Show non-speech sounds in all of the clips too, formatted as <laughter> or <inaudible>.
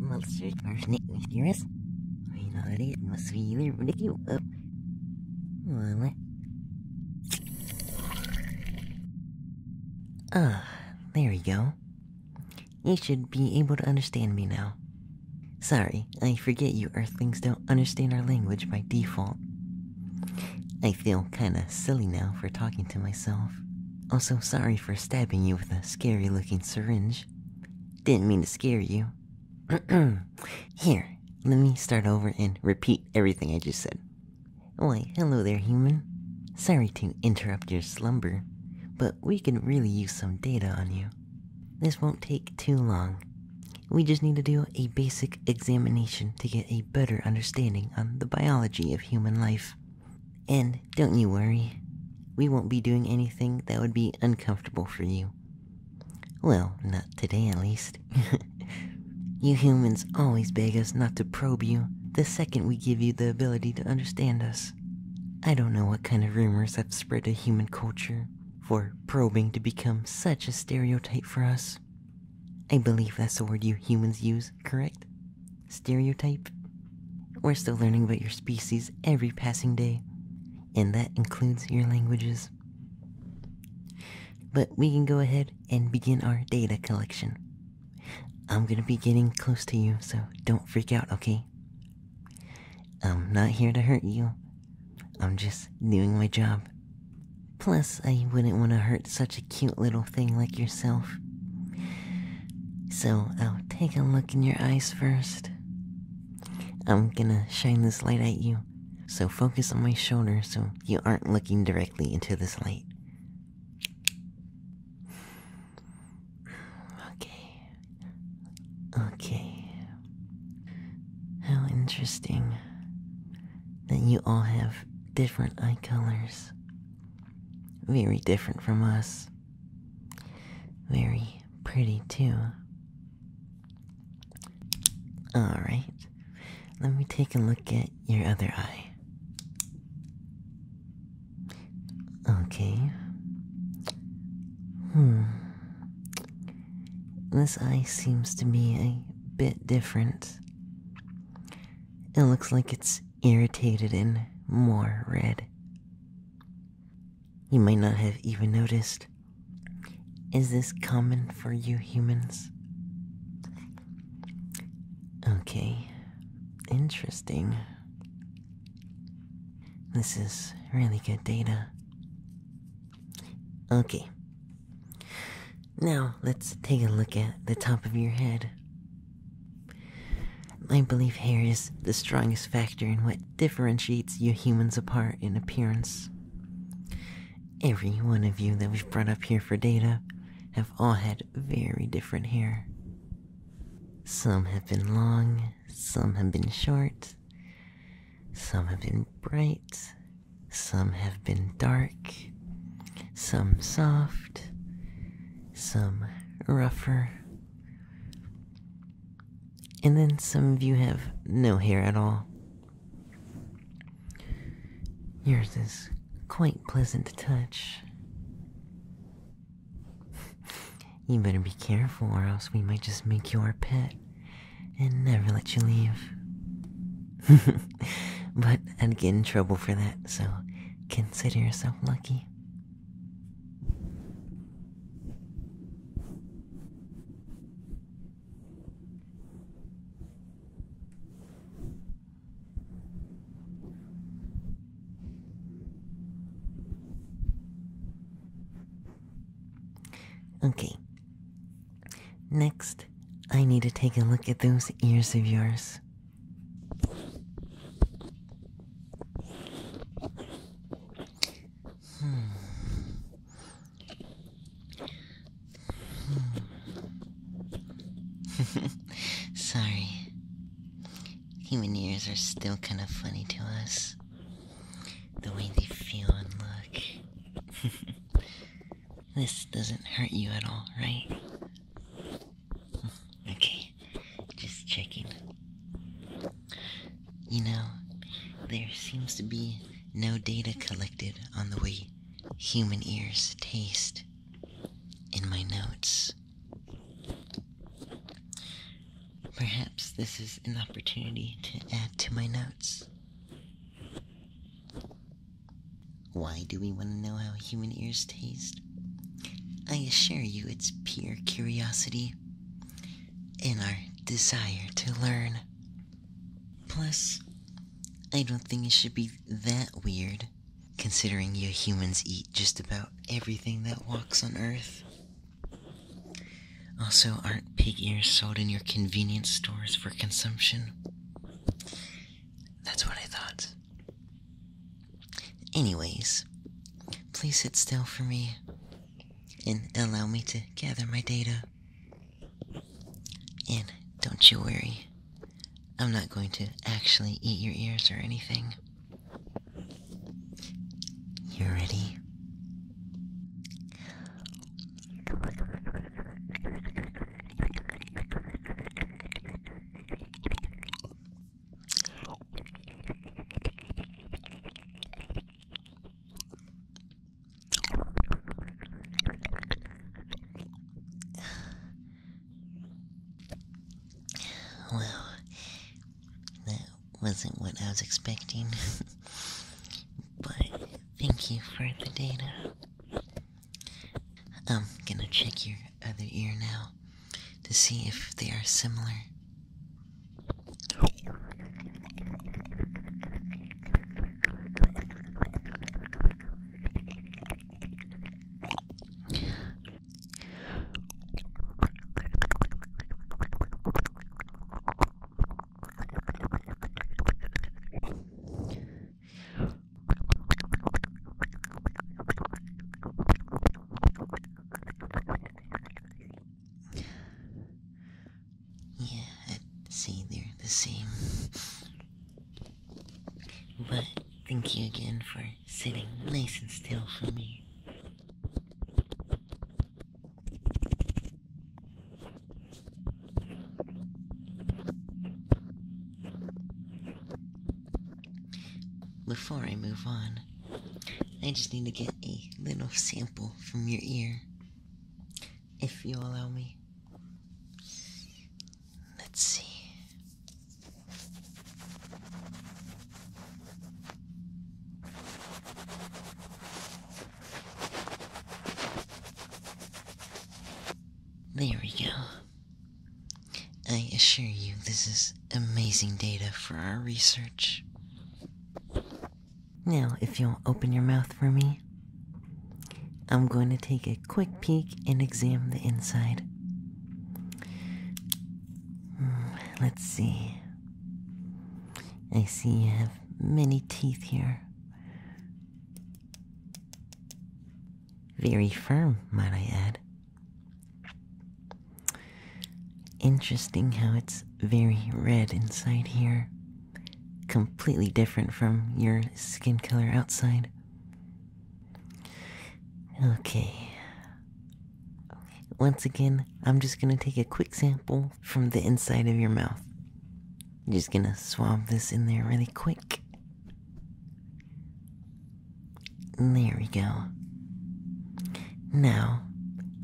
monsters are sneaking near You know it is must be really ridiculous. Well, ah, there we go. You should be able to understand me now. Sorry, I forget you Earthlings don't understand our language by default. I feel kinda silly now for talking to myself. Also, sorry for stabbing you with a scary looking syringe. Didn't mean to scare you. <clears throat> Here, let me start over and repeat everything I just said. Why, hello there, human. Sorry to interrupt your slumber, but we can really use some data on you. This won't take too long. We just need to do a basic examination to get a better understanding on the biology of human life. And don't you worry, we won't be doing anything that would be uncomfortable for you. Well, not today at least. <laughs> you humans always beg us not to probe you the second we give you the ability to understand us. I don't know what kind of rumors have spread to human culture for probing to become such a stereotype for us. I believe that's the word you humans use, correct? Stereotype? We're still learning about your species every passing day, and that includes your languages. But we can go ahead and begin our data collection. I'm gonna be getting close to you, so don't freak out, okay? I'm not here to hurt you. I'm just doing my job. Plus, I wouldn't want to hurt such a cute little thing like yourself. So, I'll take a look in your eyes first. I'm gonna shine this light at you, so focus on my shoulder so you aren't looking directly into this light. Okay. Okay. How interesting that you all have different eye colors. Very different from us. Very pretty, too. Alright, let me take a look at your other eye. Okay. Hmm. This eye seems to me a bit different. It looks like it's irritated and more red. You might not have even noticed. Is this common for you humans? Okay, interesting. This is really good data. Okay. Now, let's take a look at the top of your head. I believe hair is the strongest factor in what differentiates you humans apart in appearance. Every one of you that we've brought up here for data have all had very different hair. Some have been long, some have been short, some have been bright, some have been dark, some soft, some rougher. And then some of you have no hair at all. Yours is quite pleasant to touch. You better be careful, or else we might just make you our pet and never let you leave. <laughs> but I'd get in trouble for that, so consider yourself lucky. Okay, Next, I need to take a look at those ears of yours. Hmm. <laughs> Sorry. Human ears are still kind of funny to us the way they feel and look. <laughs> this doesn't hurt you at all, right? <laughs> Okay, just checking. You know, there seems to be no data collected on the way human ears taste in my notes. Perhaps this is an opportunity to add to my notes. Why do we want to know how human ears taste? I assure you it's pure curiosity and our desire to learn. Plus, I don't think it should be that weird, considering you humans eat just about everything that walks on Earth. Also, aren't pig ears sold in your convenience stores for consumption? That's what I thought. Anyways, please sit still for me and allow me to gather my data. And don't you worry, I'm not going to actually eat your ears or anything. You ready? Well, that wasn't what I was expecting. <laughs> but thank you for the data. I'm gonna check your other ear now to see if they are similar. Yeah, I'd say they're the same. But thank you again for sitting nice and still for me. Before I move on, I just need to get a little sample from your ear, if you allow me. Let's see. There we go. I assure you, this is amazing data for our research. Now, if you'll open your mouth for me, I'm going to take a quick peek and examine the inside. <sighs> Let's see. I see you have many teeth here. Very firm, might I add. Interesting how it's very red inside here. Completely different from your skin color outside. Okay, once again, I'm just gonna take a quick sample from the inside of your mouth. I'm just gonna swab this in there really quick. There we go. Now,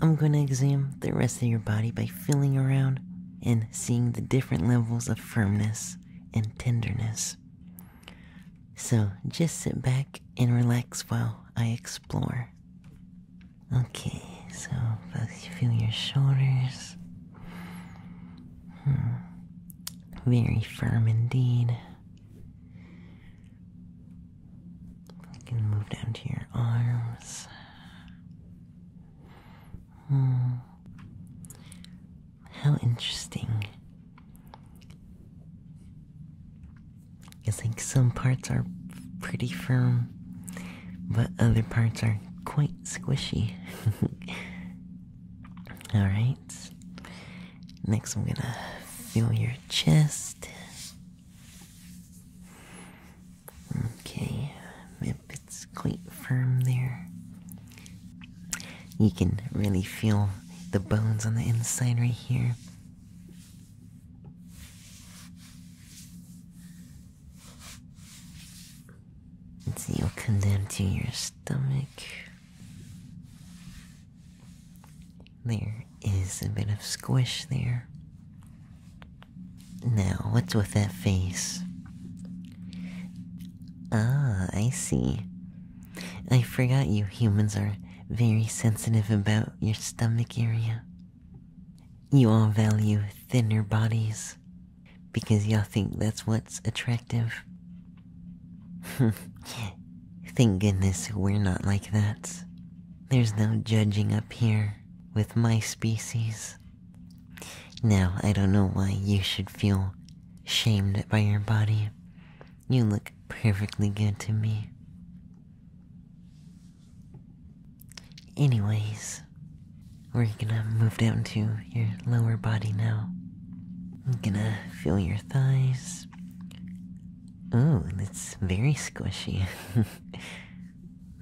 I'm going to examine the rest of your body by feeling around and seeing the different levels of firmness and tenderness. So just sit back and relax while I explore. Okay, so feel your shoulders. Hmm. Very firm indeed. can move down to your arms. Hmm. How interesting. I think some parts are pretty firm, but other parts are quite squishy. <laughs> Alright. Next, I'm gonna feel your chest. Okay, if it's quite firm there. You can really feel the bones on the inside right here. And so you'll come down to your stomach. There is a bit of squish there. Now, what's with that face? Ah, I see. I forgot you humans are very sensitive about your stomach area. You all value thinner bodies because y'all think that's what's attractive. <laughs> Thank goodness we're not like that. There's no judging up here with my species. Now, I don't know why you should feel shamed by your body. You look perfectly good to me. Anyways, we're gonna move down to your lower body now. I'm gonna feel your thighs. Oh, that's very squishy. <laughs>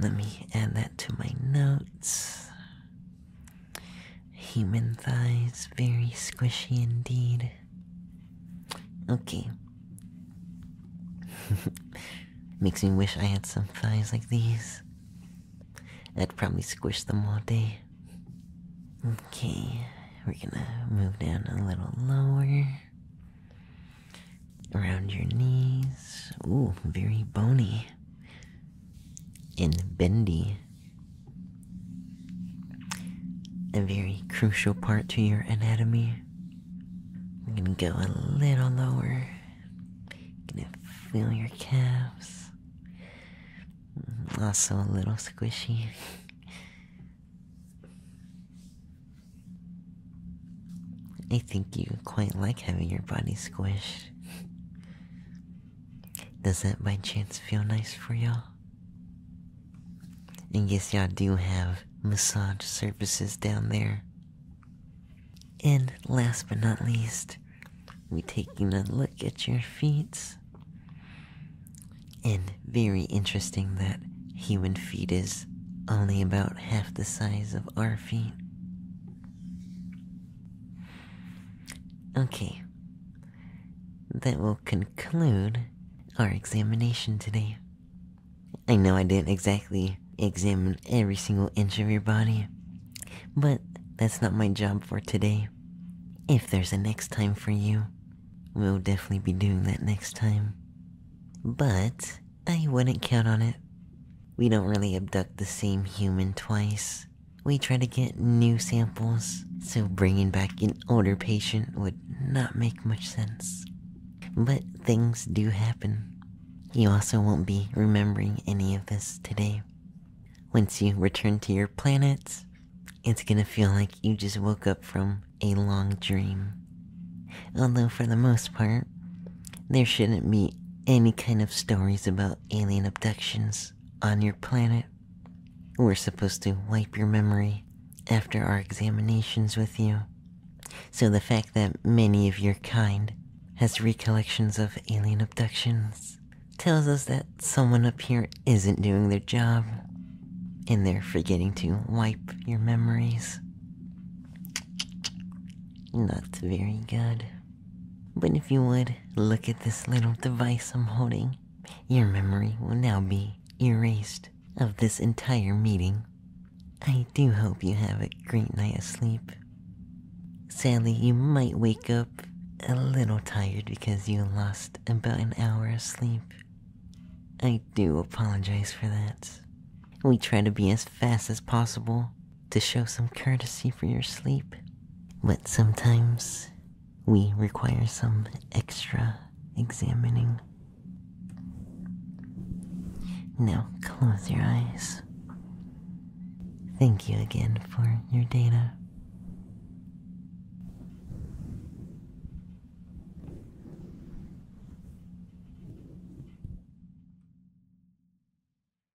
Let me add that to my notes. Human thighs, very squishy indeed. Okay. <laughs> Makes me wish I had some thighs like these. I'd probably squish them all day. Okay, we're gonna move down a little lower. Around your knees. Ooh, very bony in bendy. A very crucial part to your anatomy. I'm gonna go a little lower. gonna feel your calves. Mm, also a little squishy. I think you quite like having your body squished. Does that by chance feel nice for y'all? And guess y'all do have massage services down there. And last but not least, we're taking a look at your feet. And very interesting that human feet is only about half the size of our feet. Okay. That will conclude our examination today. I know I didn't exactly examine every single inch of your body, but that's not my job for today. If there's a next time for you, we'll definitely be doing that next time. But I wouldn't count on it. We don't really abduct the same human twice we try to get new samples, so bringing back an older patient would not make much sense. But things do happen. You also won't be remembering any of this today. Once you return to your planets, it's gonna feel like you just woke up from a long dream. Although, for the most part, there shouldn't be any kind of stories about alien abductions on your planet. We're supposed to wipe your memory after our examinations with you. So the fact that many of your kind has recollections of alien abductions tells us that someone up here isn't doing their job and they're forgetting to wipe your memories. Not very good. But if you would look at this little device I'm holding, your memory will now be erased of this entire meeting. I do hope you have a great night of sleep. Sadly, you might wake up a little tired because you lost about an hour of sleep. I do apologize for that. We try to be as fast as possible to show some courtesy for your sleep. But sometimes we require some extra examining. Now close your eyes. Thank you again for your data.